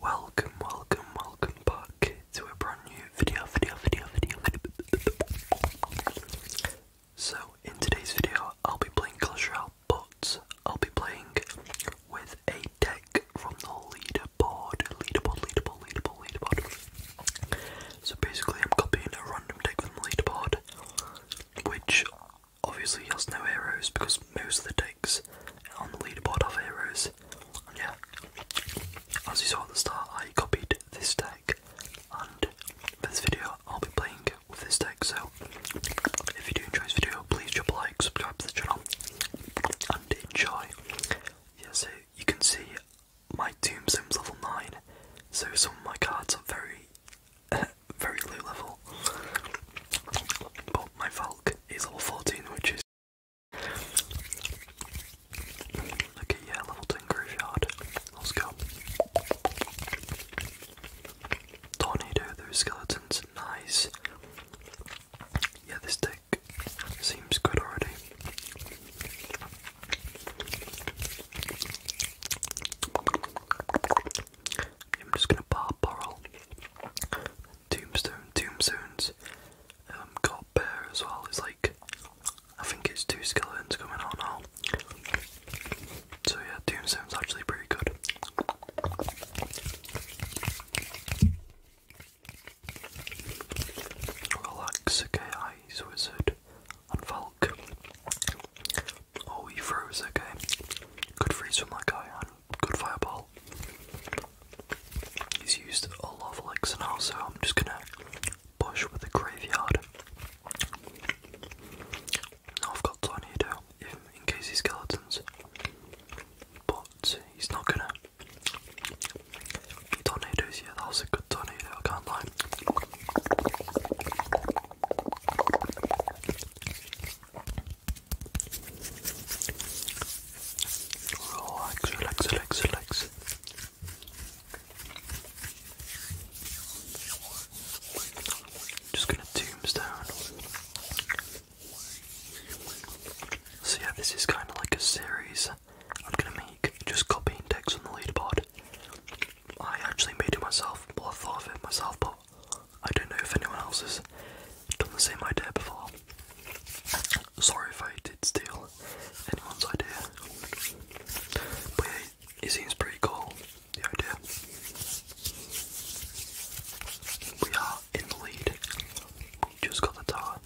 Welcome, welcome, welcome back to a brand new video, video, video, video, video. So, in today's video, I'll be playing Clash Royale, but I'll be playing with a deck from the leaderboard, leaderboard, leaderboard, leaderboard, leaderboard. So basically, I'm copying a random deck from the leaderboard, which obviously has no heroes because most of the decks on the leaderboard have heroes. Yeah, as you saw at the start, I copied this deck, and for this video, I'll be playing with this deck. So, if you do enjoy this video, please drop a like, subscribe to the channel, and enjoy. Yeah, so you can see my Doom tombstone's level 9, so some of my cards are very, very low level. But my Valk is level 14, which is Okay, yeah, level 10 graveyard. Let's go. Tornado, those skeletons, nice. Yeah, this deck seems good already. I'm just gonna bar borrow tombstone tombstones. Um, got bear as well. It's like I think it's two skeletons coming out now. So yeah, tombstone's actually pretty good. Relax, okay, eyes wizard and Valk. Oh, he froze, okay. Good freeze from that guy and good fireball. He's used a lot of licks now, so I'm just gonna push with the graveyard. I've got tornado, in case he's skeletons. But he's not gonna. Tornadoes, yeah, that was a good tornado, I can't lie. Relax, relax, relax, relax. Just gonna tombstone. So yeah, this is kind of like a series I'm gonna make, just copying text on the leaderboard. I actually made it myself, well I thought of it myself, but I don't know if anyone else has done the same idea before. Sorry if I did steal anyone's idea. But it seems pretty cool, the idea. We are in the lead. just got the tower.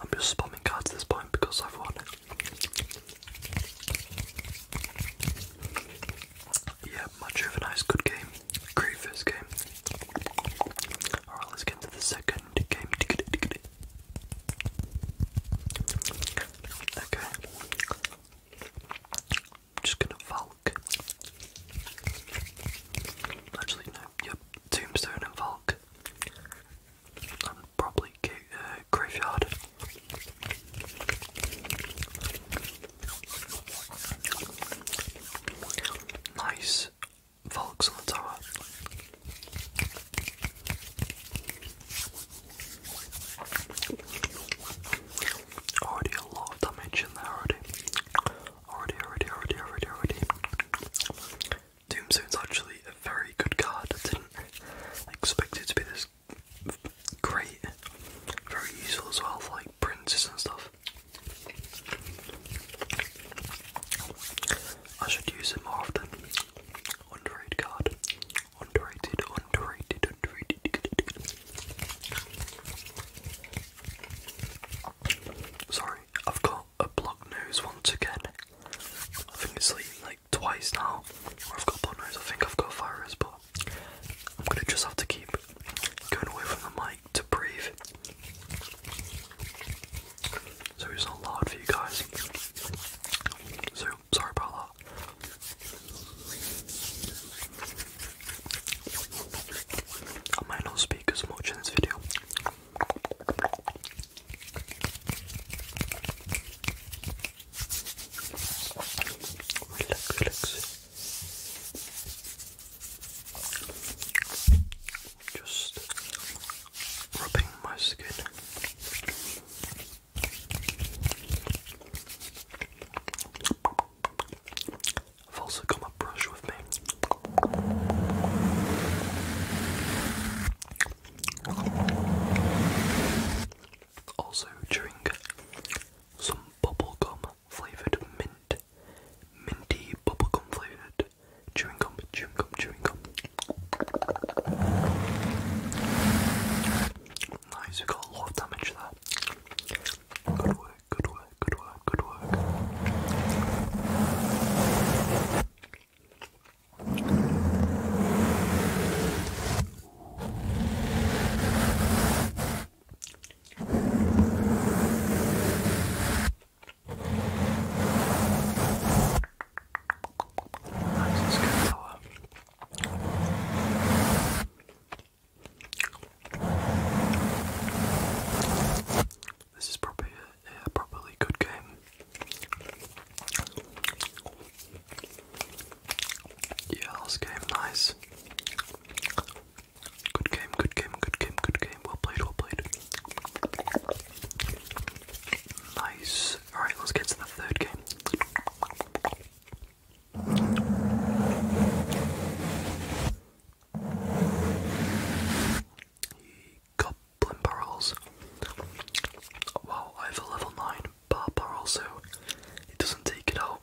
I'm just spamming cards at this point because I've won. Yeah, much of a nice good game. Great first game. Alright, let's get to the second game. Okay just gonna Valk. Actually, no, yep, Tombstone and Valk. And probably uh, Graveyard. Nice Valks on the tower. Already a lot of damage in there already. Already, already, already, already, already. Tombstone's actually a very good card. I didn't expect it to be this great. Very useful as well for like princes and stuff. I should use it more often. Underrated card. Underrated, underrated, underrated. Sorry, I've got a blocked nose once again. I think it's like, like twice now I've got blocked nose. I think I've got a virus, but I'm gonna just have to keep going away from the mic to breathe. So it's not loud for you guys. So Sorry Paula. I might not speak as much in this video. Just rubbing my skin. I've also got my brush with me. Also, drink some bubblegum flavoured mint. Minty bubblegum flavoured chewing gum. Chewing gum, chewing gum. Nice, we got a lot of damage there. Good work, good work, good work, good work. Nice This is probably a, probably good game. Yeah, last game, nice. Good game, good game, good game, good game. Well played, well played. Nice. Alright, let's get to the third game. Goblin barrels. Wow, I have a level 9 bar barrel, so it doesn't take it out.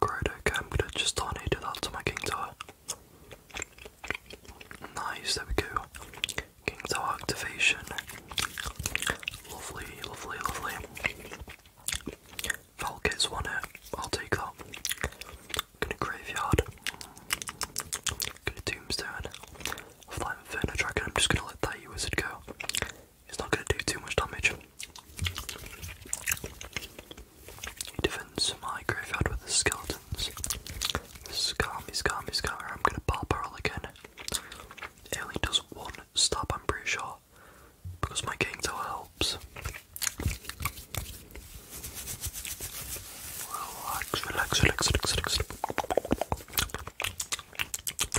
Alright, okay, I'm gonna just turn donate that to my King Tower. Nice, there we go. King Tower activation. Lovely, lovely, lovely. Falcons won it. I'll take that. I'm gonna graveyard. I'm gonna tombstone. Flying Inferno Dragon, I'm just gonna let that E-Wizard go. He's not going to do too much damage. He defends my graveyard with the skeletons. Scar me, scar I'm going to bar barrel again. It does one stab, I'm pretty sure. Because my game helps. Relax, relax, relax, relax, relax. Relax, relax,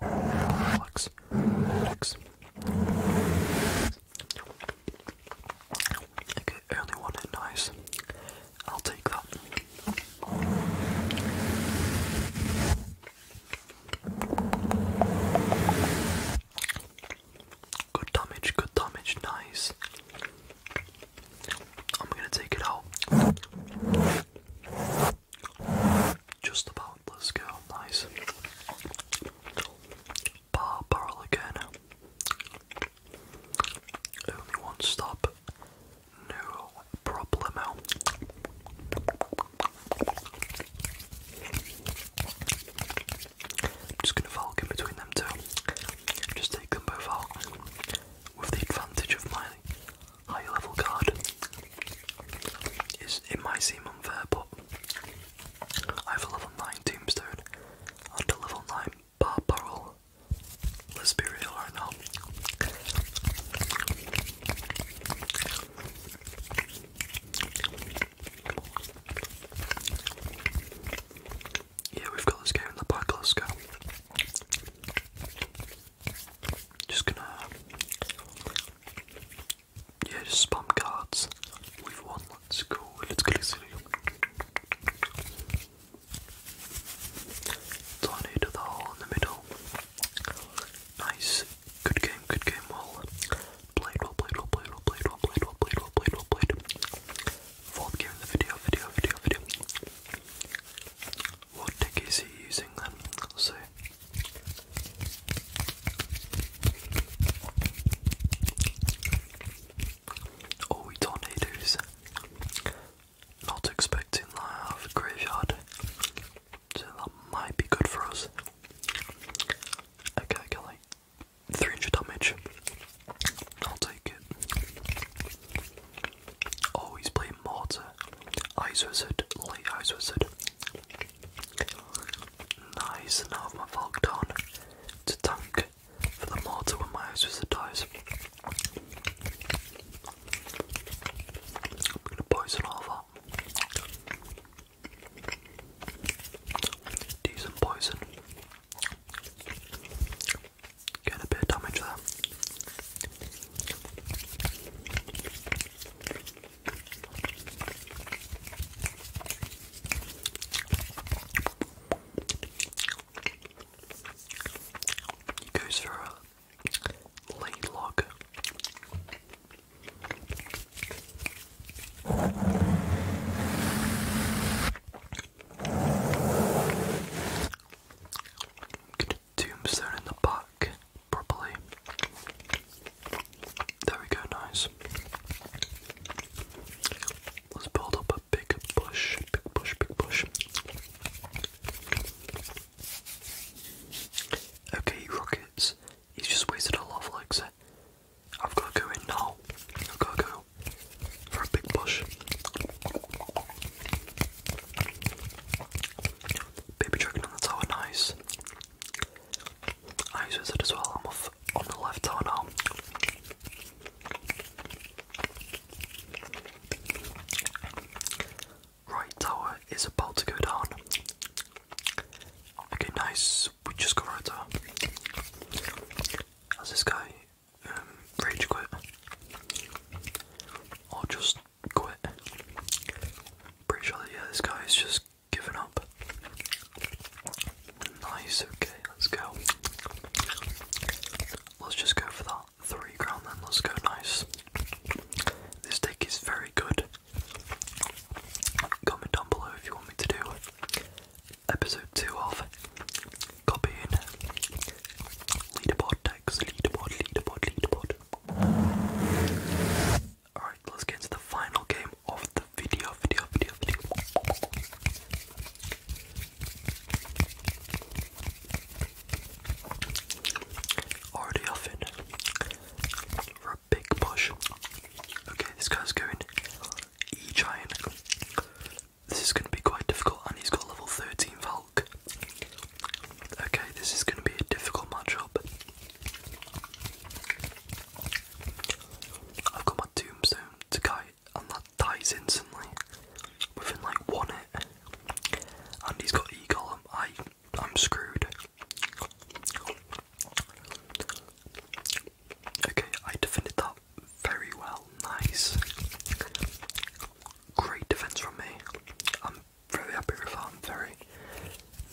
relax, relax, relax. Okay, only one hit nice. I'll take that. Good damage, good damage, nice. I'm gonna take it out. Just about, let's go, nice. Bar barrel again. Only one stop. No problemo. just going to Valk in between them two. Just take them both out with the advantage of my higher level card. it might seem unfair, but I have a level 9 tombstone and a level 9 bar barrel. Let's be real right now. Yeah, we've got this game in the back, let's go. Just gonna. Yeah, just spam cards. We've won, let's go. Let's go, let's go. Tornado the hole in the middle. Nice. Good game, good game. Well played, well played, well played, well played, well played, well played, well played, well played. Fourth game in the video, video, video, video. What deck is he using then? Let's see. Oh, he tornadoes. Not expecting that out of the graveyard. So that might be good for us. Okay, I 300 damage. I'll take it. Always playing Mortar. eyes Wizard. Light eyes Wizard. Nice, now I have my Valk down to tank for the Mortar when my Ice Wizard dies. I'm gonna poison all that. Decent poison. Getting a bit of damage there. He goes for a Laylock. Get a tombstone in the back properly. There we go, nice. Let's build up a big bush, big bush, big bush. Okay, Rockets, he's just wasted a lot of legs. I've got to go in now. I've got to go for a big push. Baby dragon on the tower, nice. I use it as well. I'm off on the left tower now. Right, tower is about to go down. Okay, nice. We just got right tower. Has this guy um, rage quit? Or just quit? Pretty sure yeah, this guy is just giving up. Nice, okay, let's go. Let's just go for that three ground then let's go nice. This deck is very good. Comment down below if you want me to do episode two of copying leaderboard decks, leaderboard, leaderboard, leaderboard. Alright, let's get into the final game of the video, video, video, video. Already off in for a big push. Okay, this guy's going E giant. This is gonna be quite difficult and he's got level 13 Valk. Okay, this is gonna be a difficult matchup. I've got my tombstone to kite and that dies instantly within like one hit. And he's got Eagle, I, I'm screwed. Okay, I defended that very well. Nice. Great defense from me. I'm very happy with that. I'm very,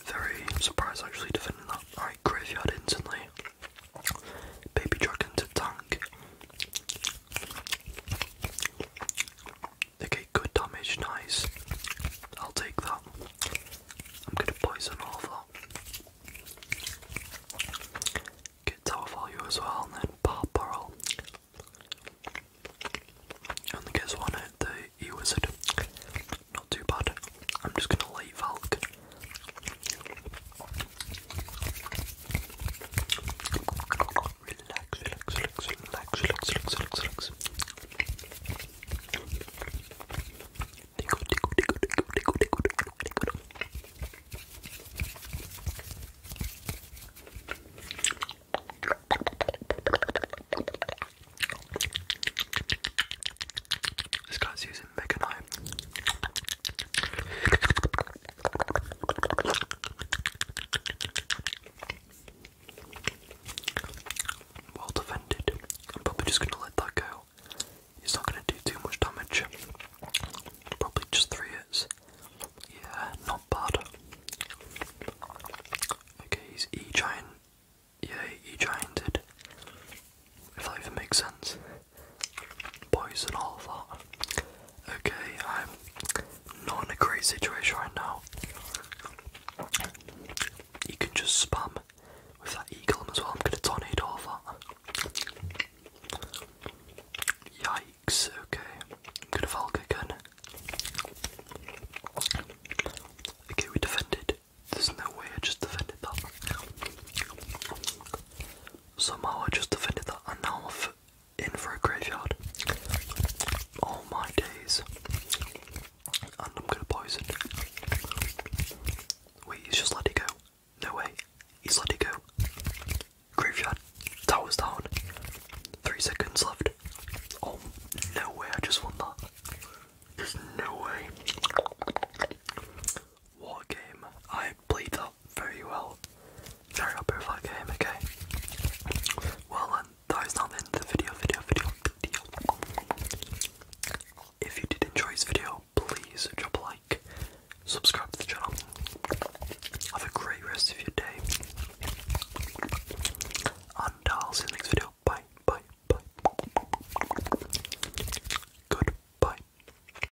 very surprised actually defending that. Alright, graveyard instantly. Baby dragon to tank. Okay, good damage, nice. I'll take that. I'm gonna poison all of that. Get tower value as well, and then pop barrel. Only gets one at the E wizard. Not too bad. I'm just gonna late Valk. Relax, relax, relax, relax, relax, relax, relax, relax. Tickle, tickle, tickle, tickle, tickle, tickle, tickle, tickle. This guy's using meganime. Well defended. I'm probably just gonna let that go. It's not gonna do too much damage. Probably just three hits. Yeah, not bad. Okay, he's E giant. Yeah, E gianted. If that even makes sense. Poison and all that. Okay, I'm not in a great situation right now. You can just spam with that eagle as well. I'm gonna tornado all that. Yikes, okay. I'm gonna Valk again. Okay, we defended. There's no way I just defended that. Somehow I just defended that and now I'm in for a graveyard. All oh my days. And I'm gonna poison. Wait, he's just let it go. No way. He's let it go. Graveyard. Tower's down. Three seconds left. Oh, no way, I just won that. There's no way. What game? I played that very well. Sorry about game, okay? Well then, that is not end the video, video, video, video. If you did enjoy this video, please drop a like, subscribe to the channel. Have a great rest of your day. And I'll see next video. Bye, bye, bye. Goodbye.